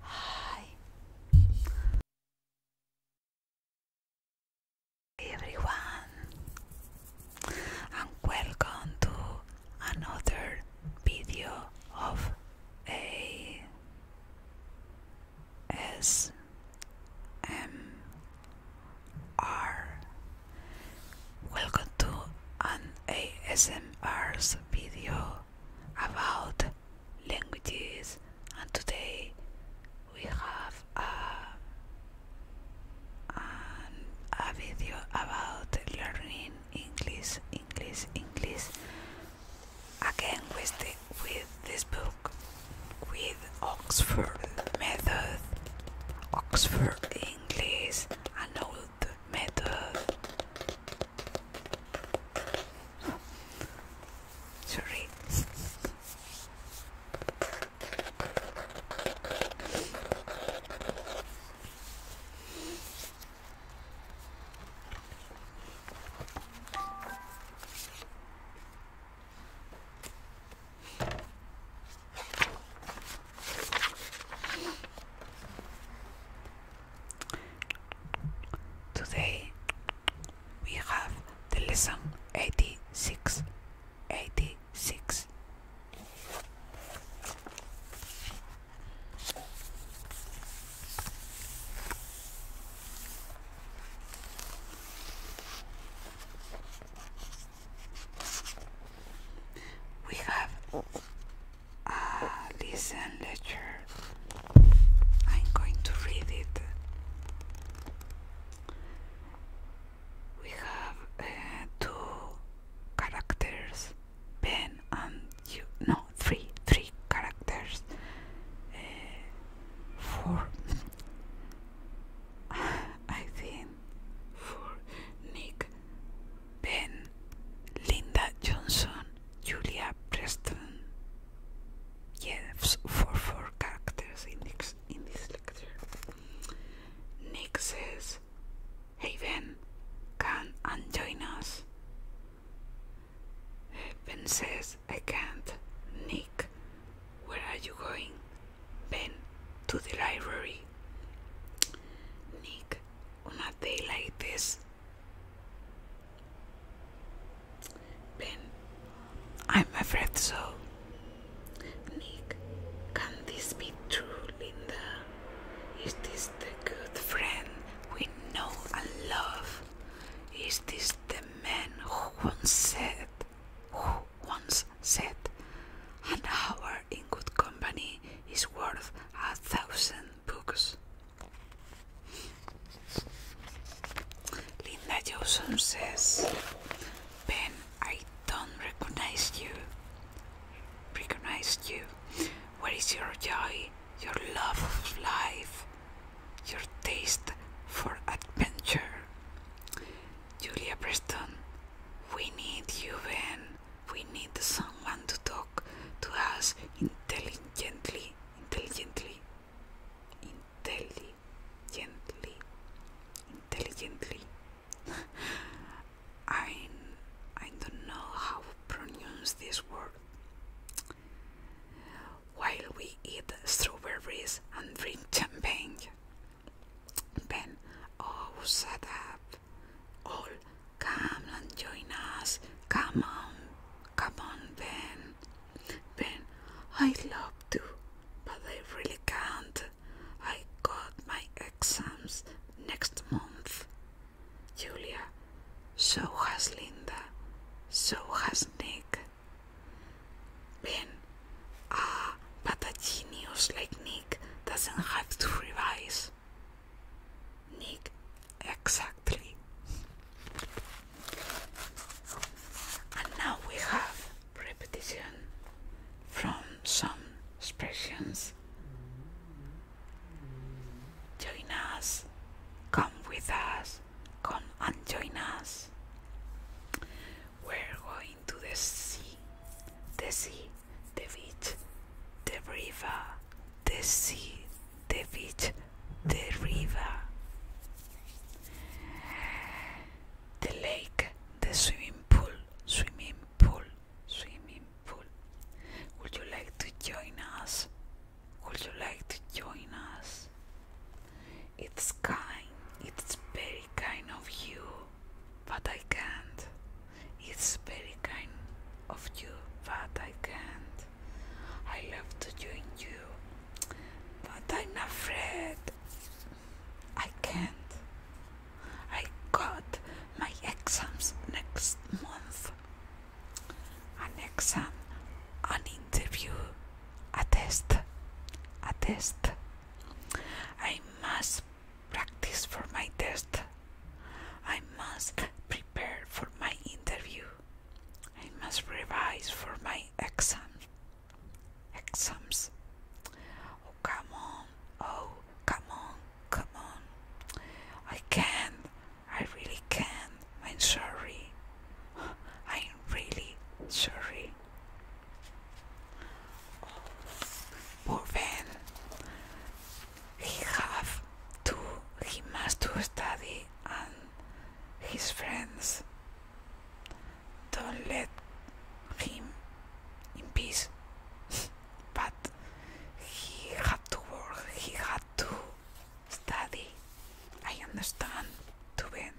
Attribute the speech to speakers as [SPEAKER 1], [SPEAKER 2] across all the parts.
[SPEAKER 1] Hi everyone and welcome to another video of a S M are. Welcome to an ASMR's video about languages, and today we have a, a video about learning English, English, English. Again, with the, with this book, with Oxford Method, Oxford. English English, an old method. Sorry. Today we have the lesson 86 86 we have a listen lecture. I'm going to read it. We have uh, two characters, Ben and you. No, three, three characters. Uh, four. I think for Nick, Ben, Linda Johnson, Julia Preston. Yes, for four characters in this, in this lecture. Nick says, Hey Ben, come and join us. Ben says, I can't. Nick, where are you going? Been to the library. Nick, on a day like this. Ben, I'm afraid so. Nick, can this be true, Linda? Is this the good friend we know and love? Is this the man who once said, Who once said, An hour in good company is worth a thousand books. Linda Johnson says, Ben, I don't recognize you. Recognize you. Where is your joy, your love of life, your taste for adventure. Julia Preston, we need you, Ben. We need someone to talk to us intelligently, intelligently, intelligently, intelligently. I I don't know how to pronounce this word while we eat strawberries and drink champagne. Ben, oh, shut up. All, come and join us. Come on, come on, Ben. Ben, I would love to, but I really can't. I got my exams next month. Julia, so has Linda, so has Nick. Ben, ah, but a genius like Nick doesn't have to revise. Nick, exactly. And now we have repetition from some expressions. Join us, come with us. Come and join us. We're going to the sea, the sea, the beach, the river, the sea, the beach, the river, the lake, the swimming pool, swimming pool, swimming pool. Would you like to join us? Would you like to join us? It's kind, it's very kind of you, but I can't. It's very kind of you, but I can't. I love to join you, but I'm afraid I can't. I got my exams next month. An exam, an interview a test, a test. I must practice for my test I must prepare for my interview I must revise for my exam exams oh come on oh come on come on I can't I really can. I'm sorry. I'm really sorry. Poor Ben. He have to. He must to study and his friends. Don't let him in peace. but he had to work. He had to Study. I understand, Tubin.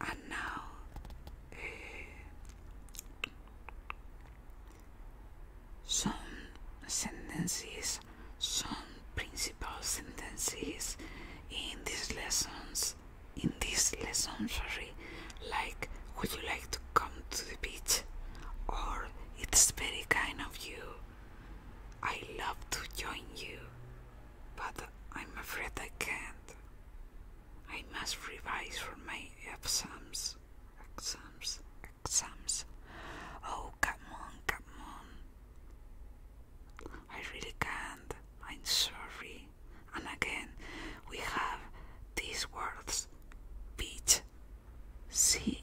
[SPEAKER 1] And now, eh, some sentences, some principal sentences in these lessons in this lesson very like would you like to come to the beach or it's very kind of you I love to join you but I'm afraid I can't I must revise for my exams exams exams oh come on come on I really can't I'm sorry and again we have these words beach, sea,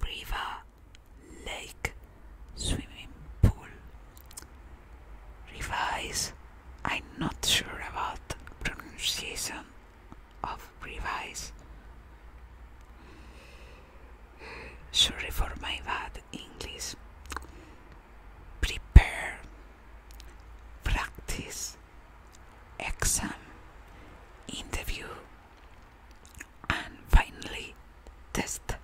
[SPEAKER 1] river, lake, swimming pool. Revise, I'm not sure about pronunciation of revise. Sorry for my bad English prepare, practice, exam, interview, and finally test,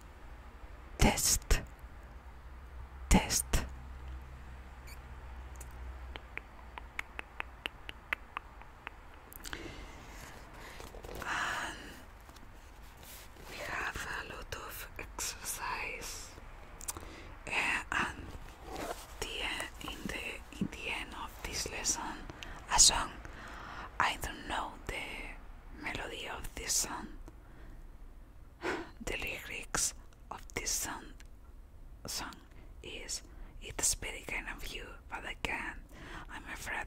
[SPEAKER 1] test, test we have a lot of exercise eh, and the, in the in the end of this lesson a song I don't know the melody of this song the lyrics of this song song is it's very kind of you but I can't I'm afraid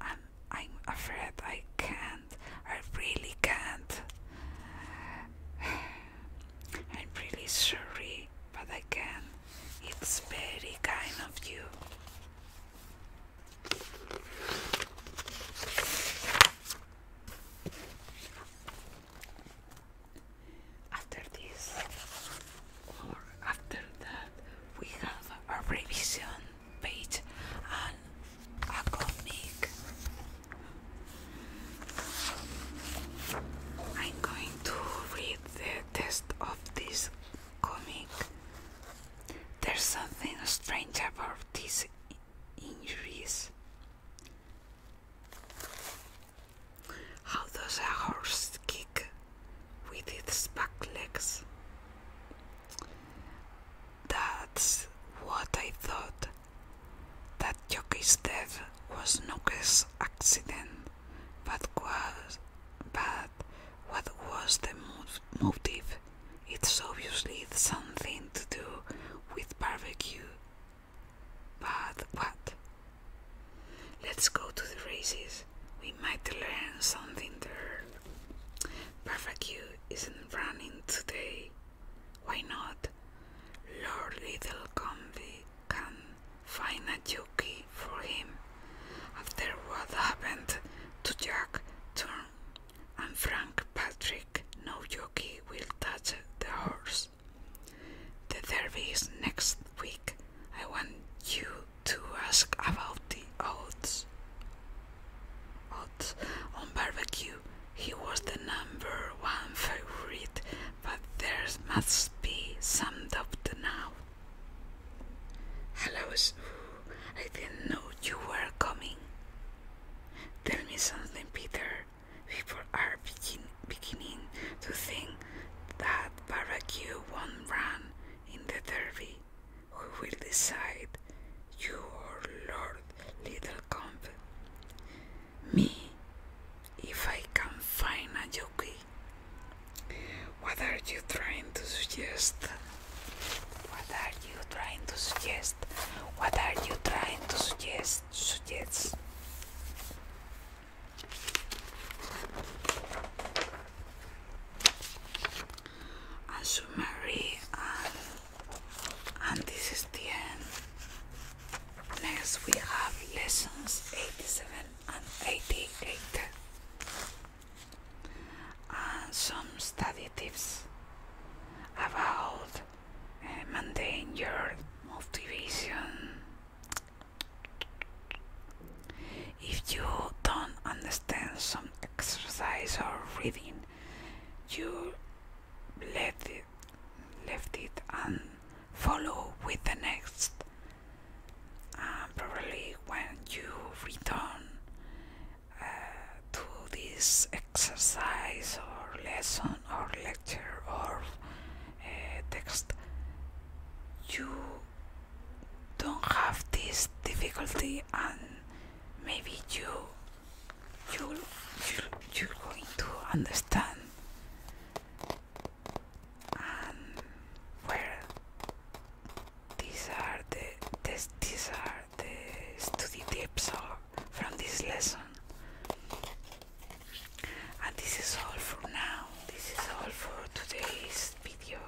[SPEAKER 1] I'm I'm afraid I can't. I really can't. I'm really sorry, but I can. It's very kind of you. After this, or after that, we have a revision page and a comic. I'm going to read the text of this comic. There's something strange about these injuries. How does a horse kick with its back legs? That's what I thought. That jockey's death was no accident, but was but what was the motive? It's obviously something to do with barbecue. But what? Let's go to the races. We might learn something there. Barbecue isn't running today. Why not? Lord Little Comby can find a jockey for him. After what happened to Jack Turn and Frank Patrick, no jockey will touch the horse. The derby is next week. I want you to ask about the odds. Odds on barbecue. He was the number one favorite, but there must be some doubt now. Hello, I didn't know you were coming. Tell me something, Peter. People are begin beginning to think that barbecue won't run in the derby who will decide your Lord Little Comp. Me, if I can find a jockey. What are you trying to suggest? What are you trying to suggest? What are you trying to suggest? Suggest and Sumeri and, this is the end. Next we have lessons 87 and 88 and some study tips about uh, maintaining your motivation if you don't understand some exercise or reading, you left it, left it and follow with the next. probably when you return uh, to this exercise or lesson or lecture or uh, text, you don't have this difficulty and maybe you you you're, you're going to understand and where these are the this, these are the study tips from this lesson and this is all for now this is all for today's video.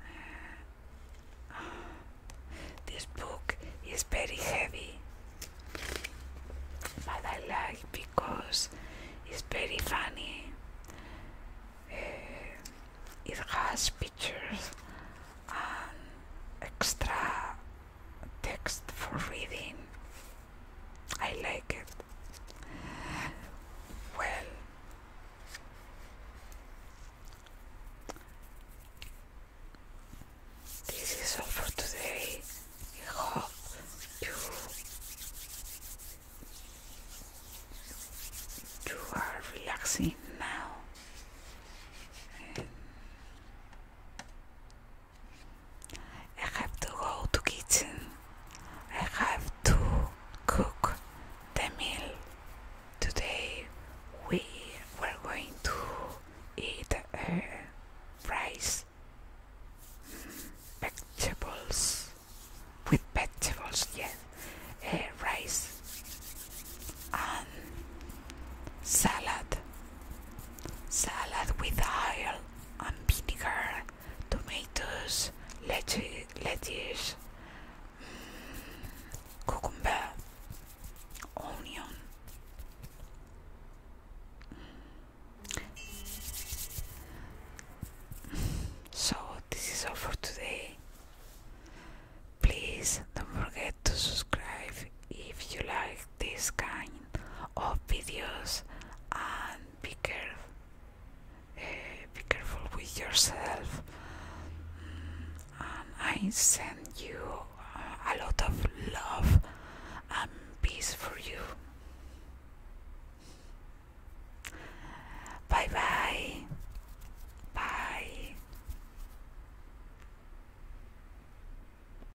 [SPEAKER 1] Eh, this book is very heavy, but I like because it's very funny. Eh, it has pictures and extra text for reading. I like it. Well, this is all for today. hope you, you are relaxing now. I have to go to kitchen. I have to cook the meal. Today we were going to eat a rice, vegetables with vegetables, yeah, a rice and salad, salad with oil vinegar, tomatoes, lettuce, lettuce mm, cucumber, onion. So, this is all for today. Please don't forget to subscribe if you like this kind of videos and be careful eh, be careful with yourself I send you uh, a lot of love and peace for you bye bye bye